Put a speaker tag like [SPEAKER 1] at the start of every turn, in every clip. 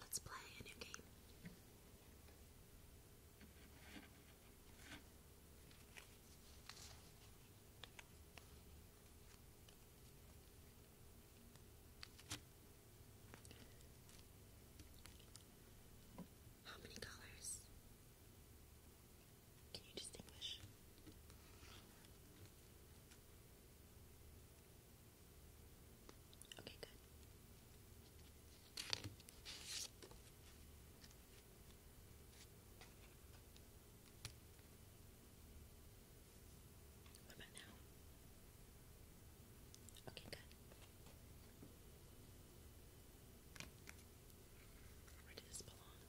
[SPEAKER 1] Let's play a new game. How many colors? Can you distinguish? Okay, good. What about now? Okay, good. Where does this belong?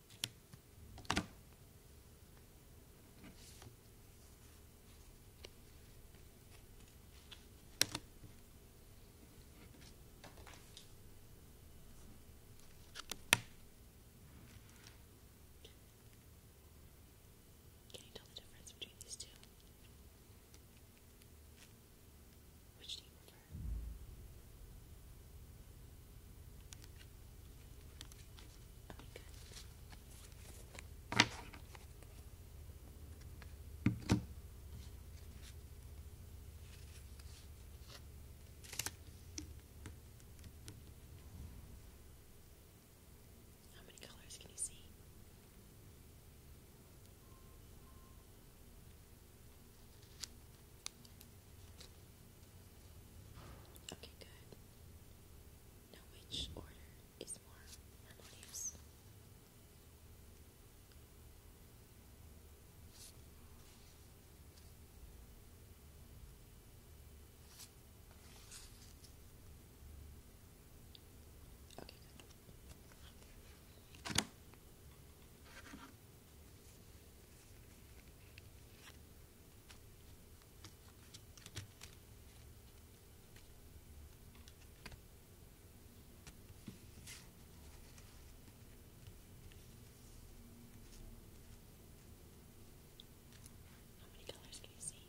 [SPEAKER 1] Can you tell the difference between these two? Which do Okay. How many colors can you see? Okay, good. Now, which order is more harmonious? Okay, how many colors can you see?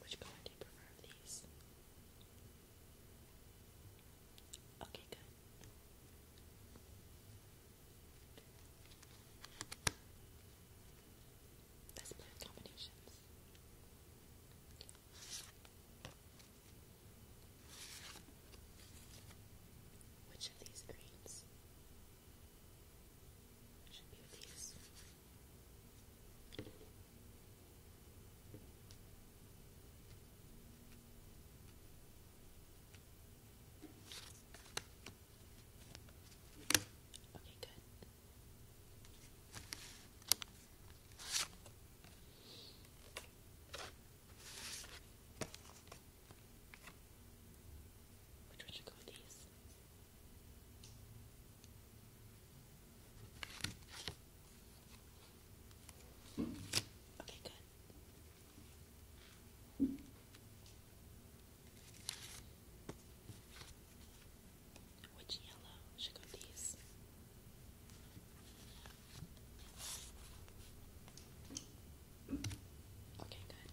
[SPEAKER 1] Which color do you prefer of these? Okay, good. Let's combinations. Which of these greens? Should be Okay, good. Which would you go with these? Okay, good. Which yellow should go with these? Okay, good.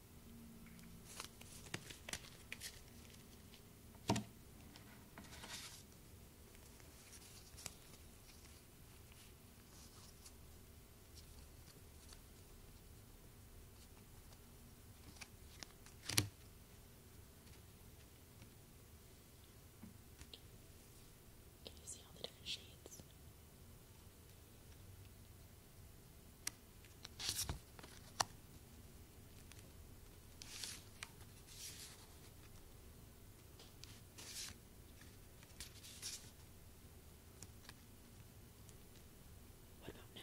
[SPEAKER 1] Can you see all the different shades? What about now?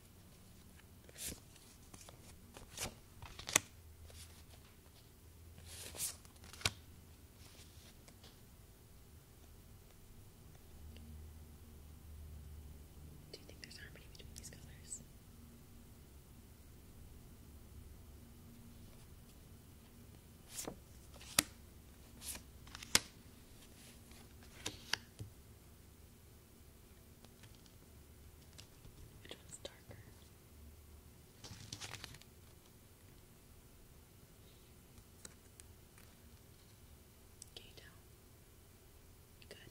[SPEAKER 1] Do you think there's harmony between these colors? Which one's darker? Can you Good.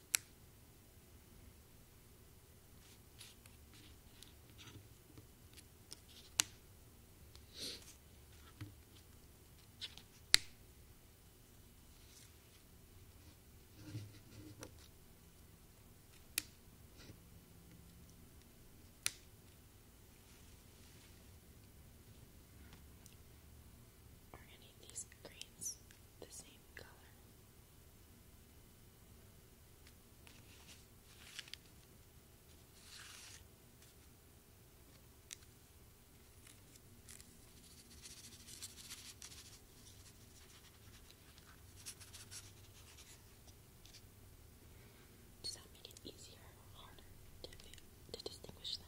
[SPEAKER 1] Are any of these greens the same color? Does that make it easier or harder to, to distinguish them?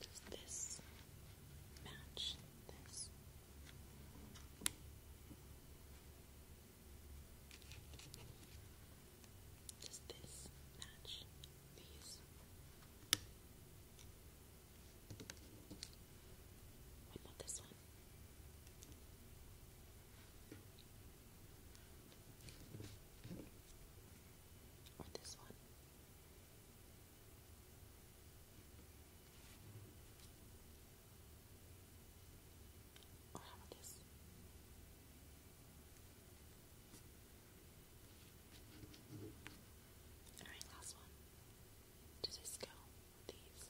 [SPEAKER 1] Does this match this? Does this match these? What about this one? Or this? Alright, last one. Does this go these?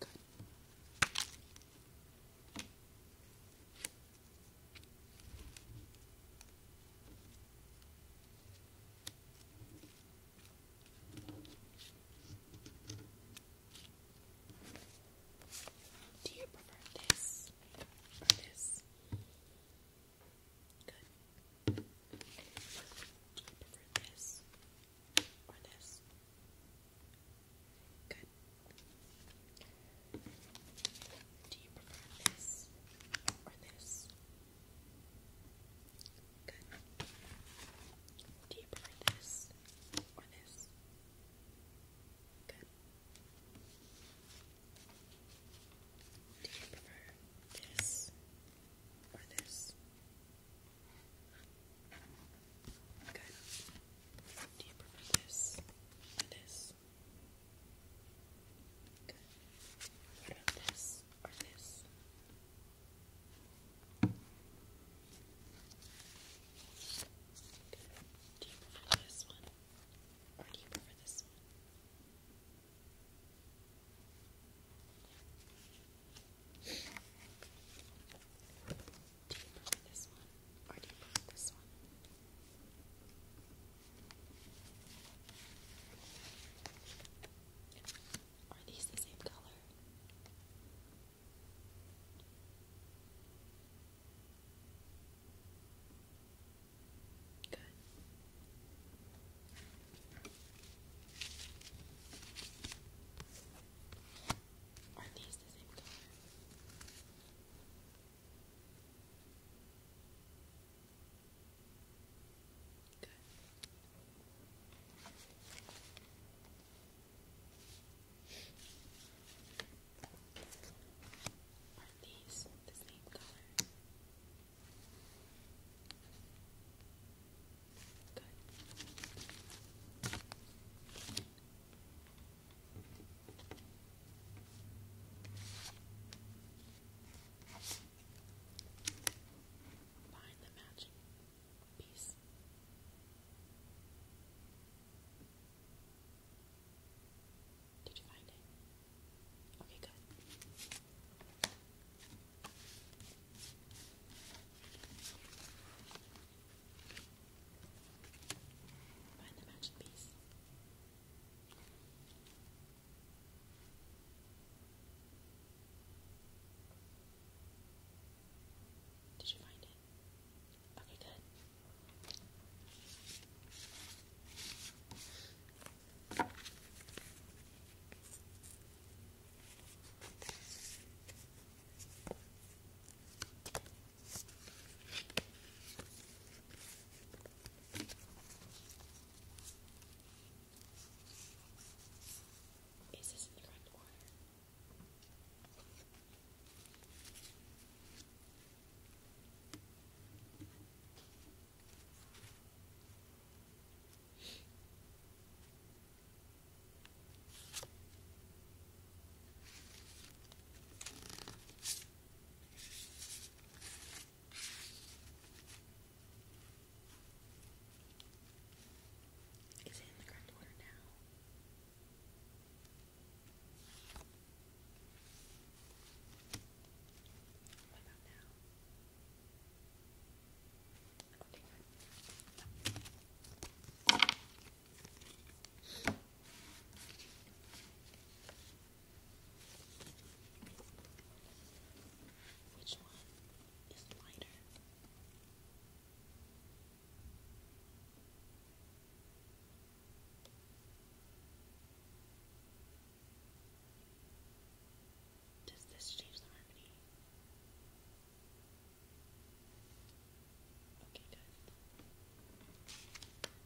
[SPEAKER 1] Good. Do you prefer this this? Good. I prefer this or this. Good. Do you prefer this or this? Good. Do you prefer this or this? Good. Do you prefer this or this? Okay. Do you prefer this this? Okay. What about this or this? Do you prefer this one or do you prefer this one? Do you prefer this one or do you prefer this one? Are these the same color? Good. Are these the same color? Good. Are these the same color? Good. Find the matching piece. Did you find it? Okay, good. Find the magic piece. Did you find it? Okay, good. Is this in correct order? Is it in the correct order now? What about now? Which one is lighter? Does this change the harmony? Okay, good. What do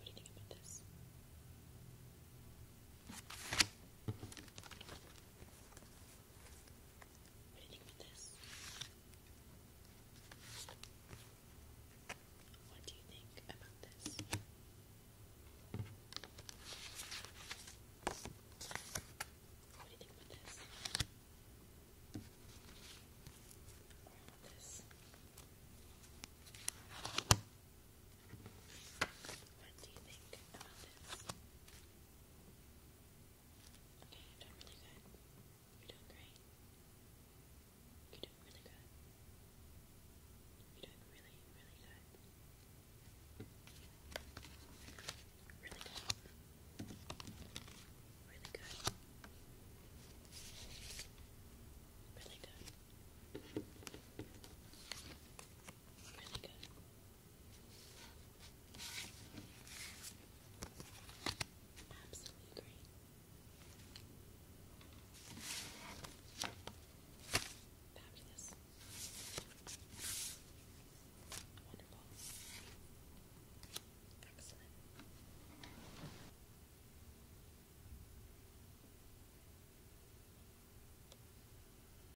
[SPEAKER 1] you think about this? What do you think about this? What do you think about this? What do you think about this? What do you think about this? Okay, you're doing really good. You're doing great. You're doing really good. You're doing really, really good. Really good. Really good. Really good. Really good. Absolutely great. Fabulous. Wonderful. Excellent.